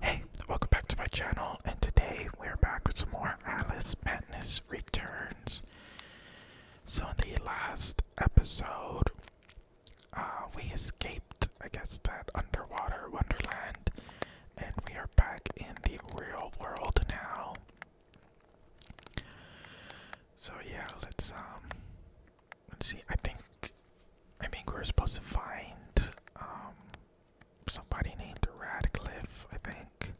Hey, welcome back to my channel, and today we're back with some more Alice Madness Returns. So, in the last episode, uh, we escaped, I guess, that underwater wonderland, and we are back in the real world now. So, yeah, let's, um, let's see, I think, I think we're supposed to find, um, somebody named Radcliffe, I think.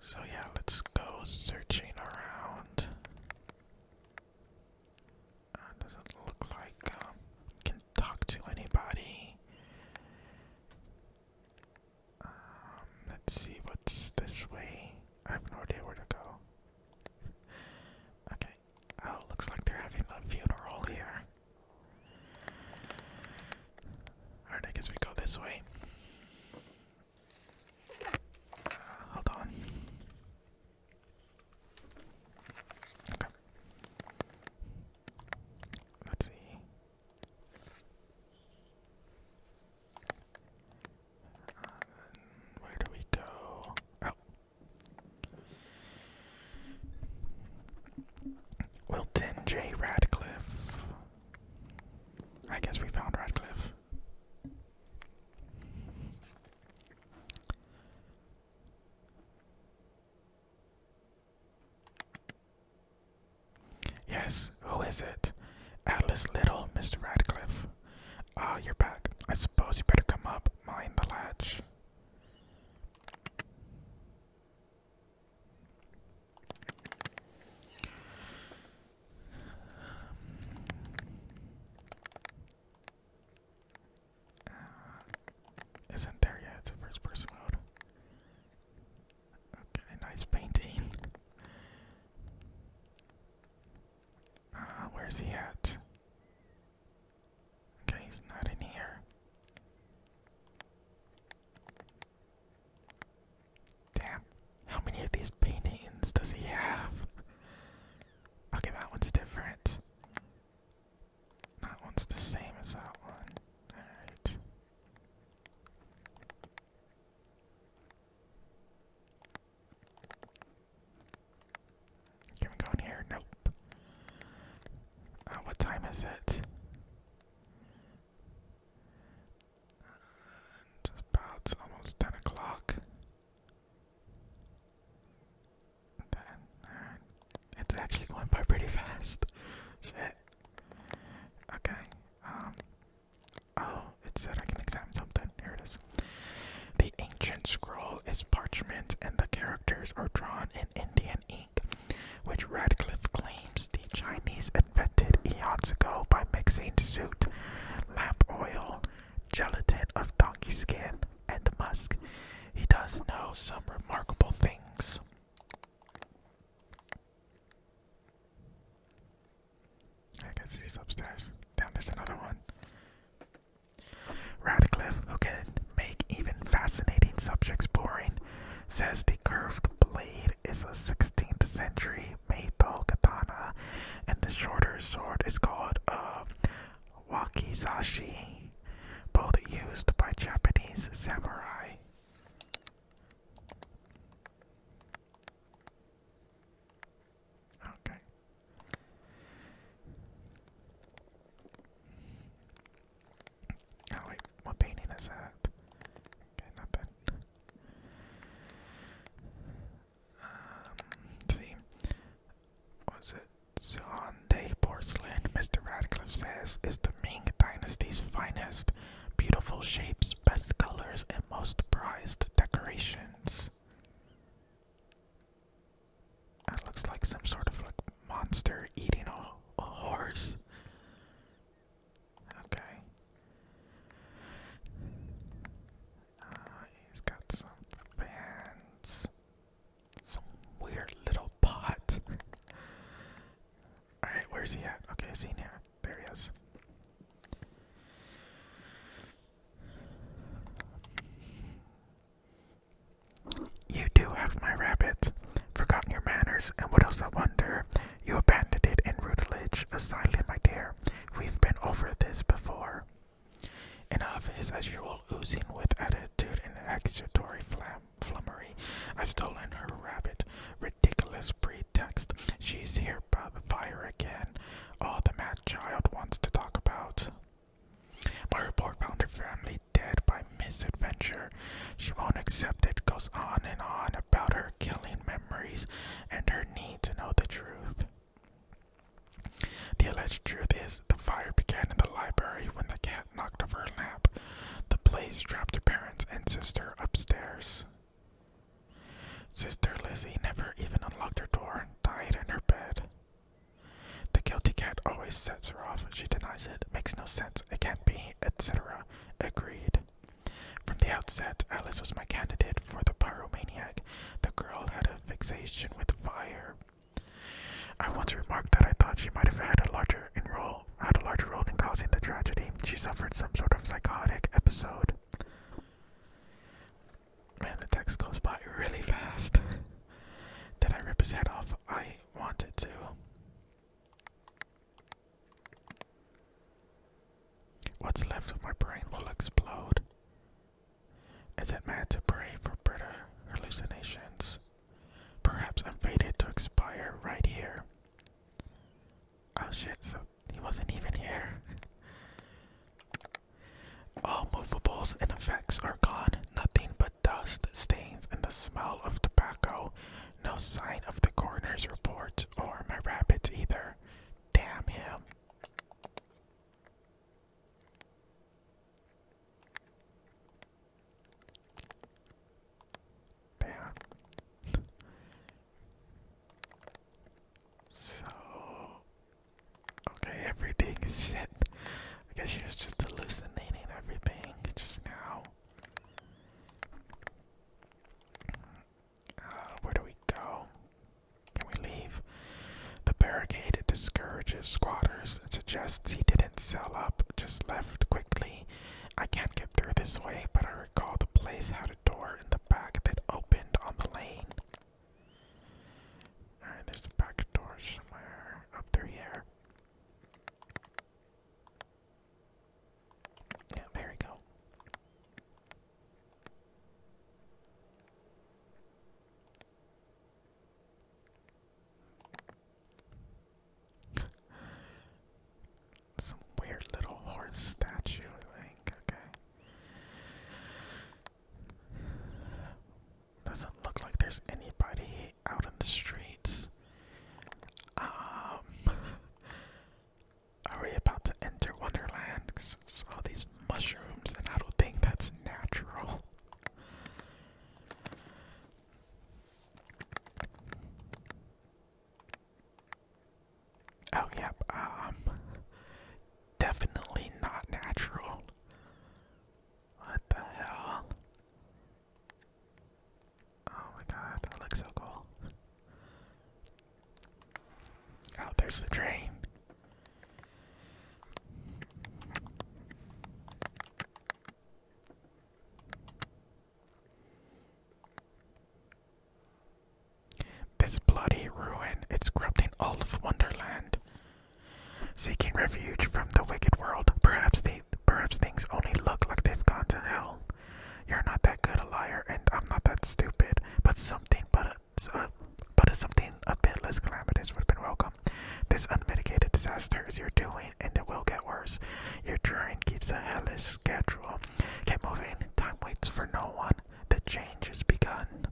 So yeah, let's go searching around. Uh, doesn't look like um, can talk to anybody. Um, let's see what's this way. I have no idea where to go. Okay, Oh, looks like they're having a funeral here. Alright, I guess we go this way. Uh, hold on. Okay. Let's see. Uh, where do we go? Oh, Wilton J. Radcliffe. I guess we found Radcliffe. Yes, who is it? Atlas Little, Mr. Radcliffe. Ah, you're back. I suppose you better come up, mind the latch. Uh, isn't there yet? It's a first person mode. Okay, nice painting. Uh, where's he at? Okay, he's not in here. Damn, how many of these paintings does he have? Okay, that one's different. That one's the same as that one. Alright. Can we go in here? Nope. Uh, what time is it? Uh, just about it's almost ten o'clock. Right. It's actually going by pretty fast. Shit. Okay. Um. Oh, it said I can examine something. Here it is. The ancient scroll is parchment and the characters are drawn in Indian ink, which Radcliffe claims the Chinese invented eons ago by mixing soot, lamp oil, gelatin of donkey skin, and musk. He does know some remarkable things. I guess he's upstairs. Damn, there's another one. Radcliffe, who can make even fascinating subjects boring, says the curved blade is a 16th century Meito katana, and the shorter sword is called a wakizashi, both used by Japanese samurai. Okay. Oh, wait, what painting is that? Okay, not um, see, was it Zonde porcelain? Mr. Radcliffe says is the Ming Dynasty's finest, beautiful shapes, best colors, and most prized decorations. That looks like some sort of like monster eating a, a horse. Okay. Uh, he's got some fans. Some weird little pot. Alright, where's he at? Okay, is he There he is. You do have my rabbit. Forgotten your manners, and what else I wonder? You abandoned it in Rootledge, a my dear. We've been over this before. And of his as usual oozing with attitude and accusatory flummery. I've stolen her rabbit. Ridiculous pretext. She's here by the fire again all the mad child wants to talk about. My report found her family dead by misadventure. She won't accept it, goes on and on about her killing memories and her need to know the truth. The alleged truth is the fire began in the library when the cat knocked over her lamp. The blaze trapped her parents and sister upstairs. Sister Lizzie never even unlocked her door, died in her bed. The guilty cat always sets her off. She denies it. Makes no sense. It can't be, etc. Agreed. From the outset, Alice was my candidate for the pyromaniac. The girl had a fixation with fire. I once remarked that I thought she might have had a larger role, had a larger role in causing the tragedy. She suffered some sort of psychotic episode. Man, the text goes by really fast. Did I rip his head off? I wanted to. What's left of my brain will explode. Is it mad to pray for better hallucinations? Perhaps I'm fated to expire right here. Oh shit, he wasn't even here. All movables and effects are gone, nothing but dust, stains, and the smell of tobacco. No sign of the coroner's report or my rabbits either. Damn him. Bam. So okay, everything is shit. I guess she was just hallucinating everything just now. Uh, where do we go? Can we leave? The barricade discourages squatters. suggests he didn't sell up, just left quickly. I can't get through this way, but I recall the place had a door in the back that opened on the lane. Alright, there's a back door somewhere up through here. Yeah, there we go some weird little horse statue, I think. Okay. Doesn't look like there's anybody out in the streets. Um, are we about to enter Wonderland? Cause all these mushrooms, and I don't think that's natural. Oh, yep, um, definitely not natural. What the hell? Oh my god, that looks so cool. Oh, there's the train. This bloody ruin is corrupting all of Wonderland. Seeking refuge from the wicked world, perhaps things only look like they've gone to hell. You're not that good a liar, and I'm not that stupid. But something, but a, uh, but something a bit less calamitous would have been welcome. This unmitigated disaster is your doing, and it will get worse. Your train keeps a hellish schedule. Keep moving. Time waits for no one. The change has begun.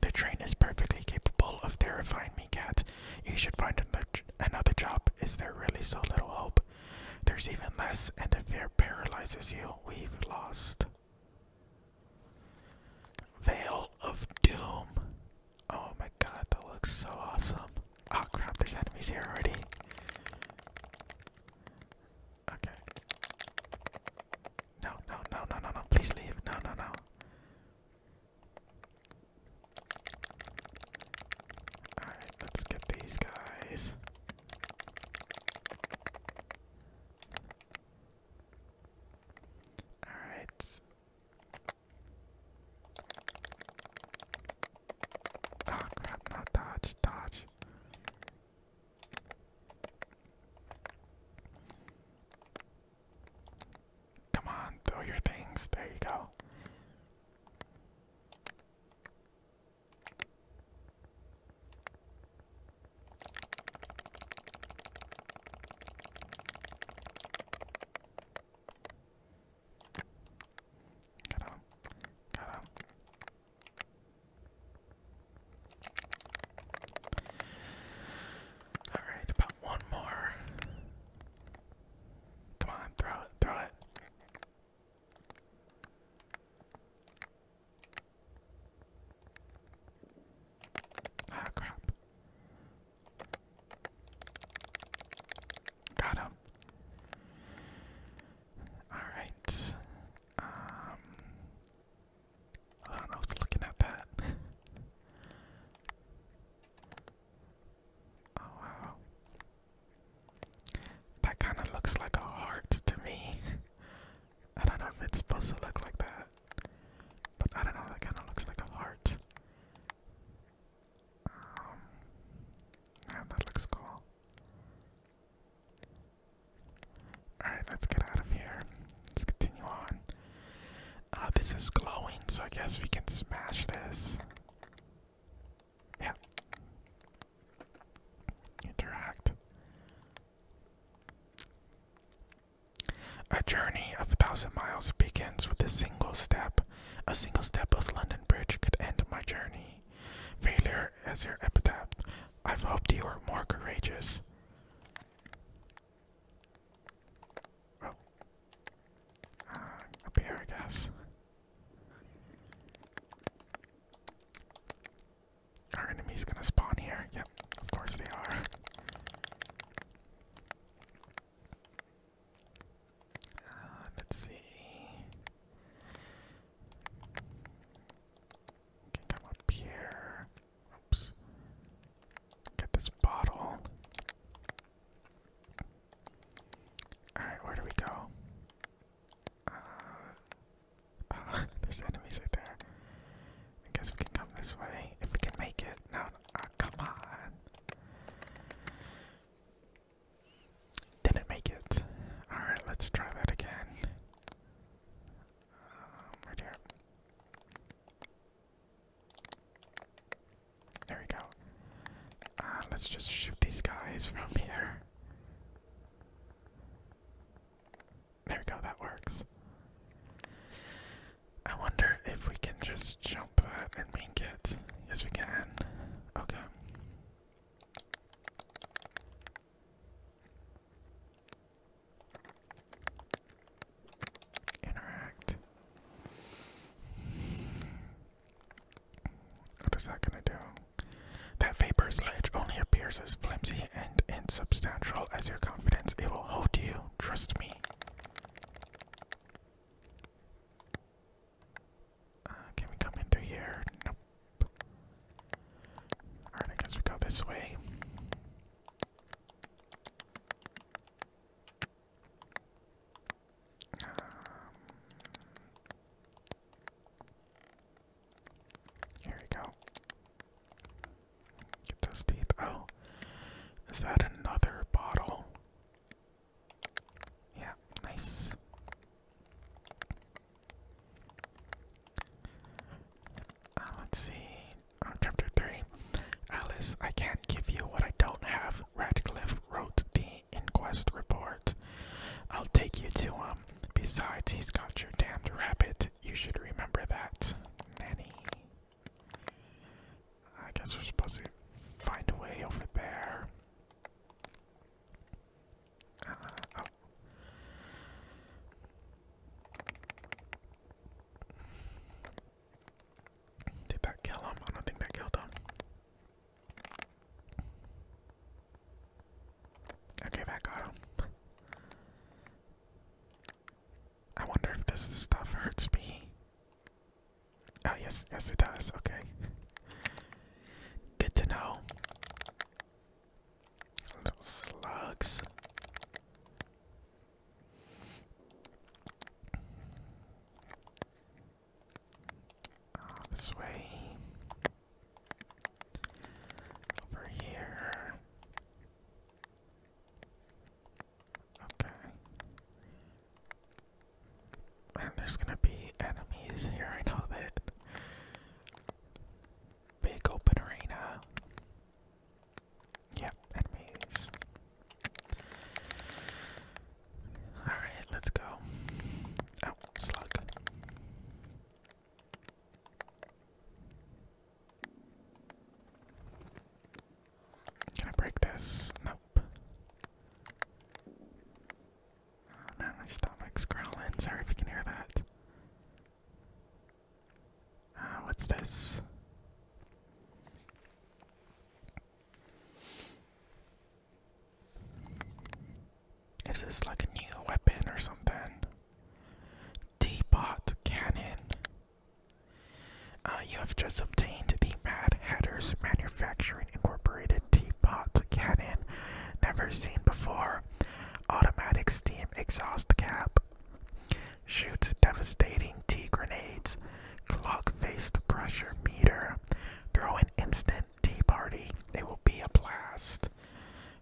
The train is perfectly capable of terrifying me, cat. You should find another job. Is there really so little hope? There's even less, and if fear paralyzes you, we've lost. Veil of Doom. Oh my god, that looks so awesome. Oh crap, there's enemies here already. Okay. No, no, no, no, no, no. Please leave. No, no, no. Alright, let's get these guys. Alright. Ah, crap, not dodge, dodge. Come on, throw your things. There you go. Alright, about one more. Come on, throw it, throw it. Ah, crap. Got him. Alright. Um hold on, I was looking at that. oh wow. That kinda looks like a heart to me. I don't know if it's supposed to look like that. But I don't know, that kinda looks like a heart. Um, yeah, that looks cool. Alright, let's get out of here. Let's continue on. Uh, this is glowing, so I guess we can smash this. Yeah. Interact. A journey of a thousand miles begins with a single step. A single step of London Bridge could end my journey. Failure as your epitaph. I've hoped you were more courageous. Oh. Uh, up here, I guess. Our enemy's gonna spawn here. Yep, of course they are. Uh, let's see. Can come up here. Oops. Get this bottle. Alright, where do we go? Uh, there's enemies right there. I guess we can come this way if we can make it. No, come on. Didn't make it. Alright, let's try that again. Um, right here. There we go. Uh, let's just shoot these guys from here. There we go, that works. I wonder if we can just jump and make it. Yes, we can. Okay. Interact. What is that gonna do? That vapor sledge only appears as flimsy and insubstantial as your confidence. It will hold you. Trust me. Uh, can we come in through here? Nope. Alright, I guess we go this way. Um, here we go. Get those teeth. Oh, is that another bottle? Yeah, nice. Uh, let's see. Uh, chapter 3. Alice, I can't give you what I don't have. Radcliffe wrote the inquest report. I'll take you to him. Um, besides, he's got your damned rabbit. You should remember that. Nanny. I guess we're supposed to find a way over there. Uh, oh. Did that kill him? I think that killed him. Okay, that got I wonder if this stuff hurts me. Oh, yes, yes, it does. Okay. Good to know. slugs. Ah, this way. Over here. Okay. And there's gonna be enemies here, I know that. Big open arena. Yep, enemies. Alright, let's go. Oh, slug. Can I break this? Nope. Oh man, my stomach's growling. Sorry if you can hear that. Uh, what's this? Is this like a new weapon or something? Teapot cannon. Uh, you have just obtained the Mad Hatters Manufacturing Incorporated teapot cannon, never seen before. Automatic steam exhaust cap. Shoots devastating tea grenades. Clock-faced pressure meter. Throw an instant tea party. It will be a blast.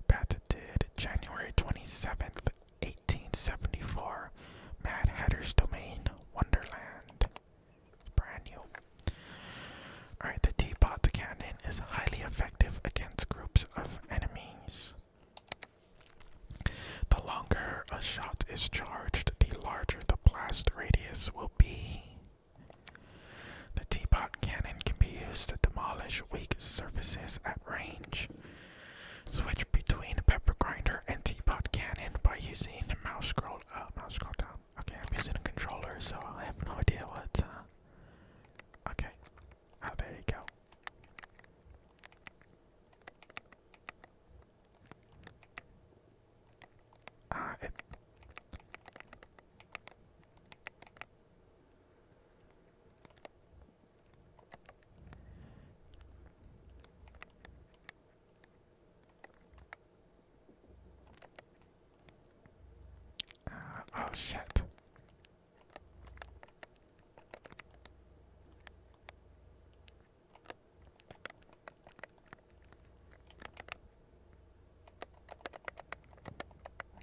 Patented January 27th, 1874 Mad Hatter's Domain Wonderland. Brand new. Alright, the teapot cannon is highly effective against groups of enemies. The longer a shot is charged, the larger the blast radius will be. The teapot cannon can be used to demolish weak surfaces at range. Switch between pepper grinder and teapot cannon by using mouse scroll up, uh, mouse scroll down. Okay, I'm using a controller, so I have no idea what. Uh, okay, oh, there you go. Uh, it. Uh, oh shit.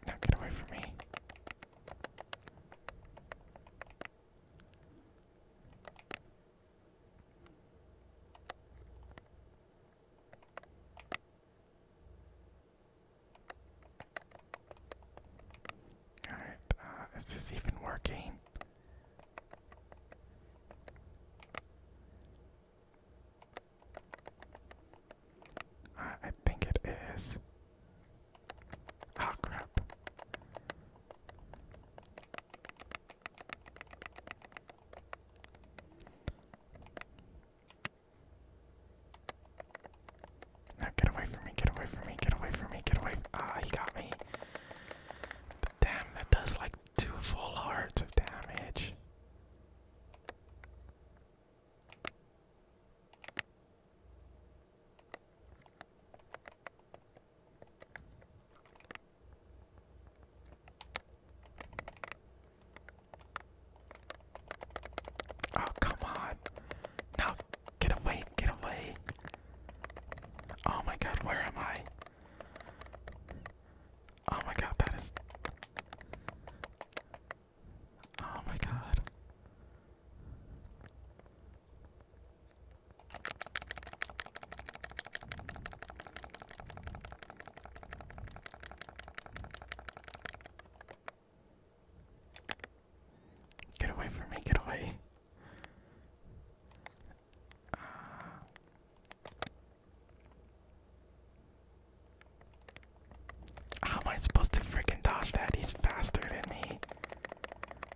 Now get away from me. All right, uh, is this even working? Uh, I think it is. Ah, oh, crap. Now get away from me, get away from me, get away from me, get away. Ah, he got me. damn, that does like two full hearts of damage. Oh, come on. Now, get away, get away. Oh my god, where am I? Oh my god, that is. Oh my god. Get away from me, get away. Uh, how am I supposed to freaking dodge that? He's faster than me. There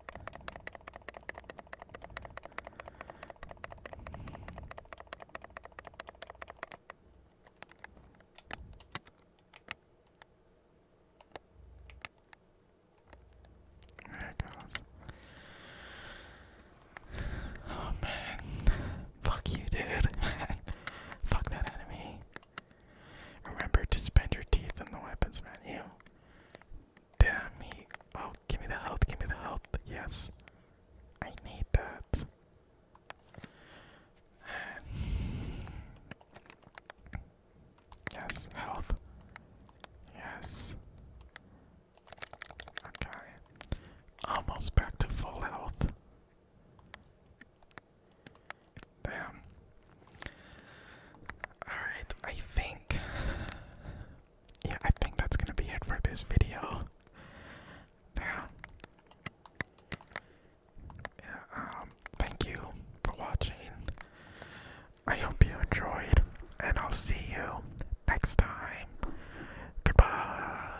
it goes. Oh man. Fuck you, dude. Fuck that enemy. Remember to spend your teeth on the weapons menu. Damn me. Oh, give me the health, give me the health. Yes. I need that. yes, health. Yes. Okay. Almost back to full health. Damn. Alright, I think. Yeah, I think that's gonna be it for this video. Now, yeah, um, thank you for watching. I hope you enjoyed, and I'll see you next time. Goodbye.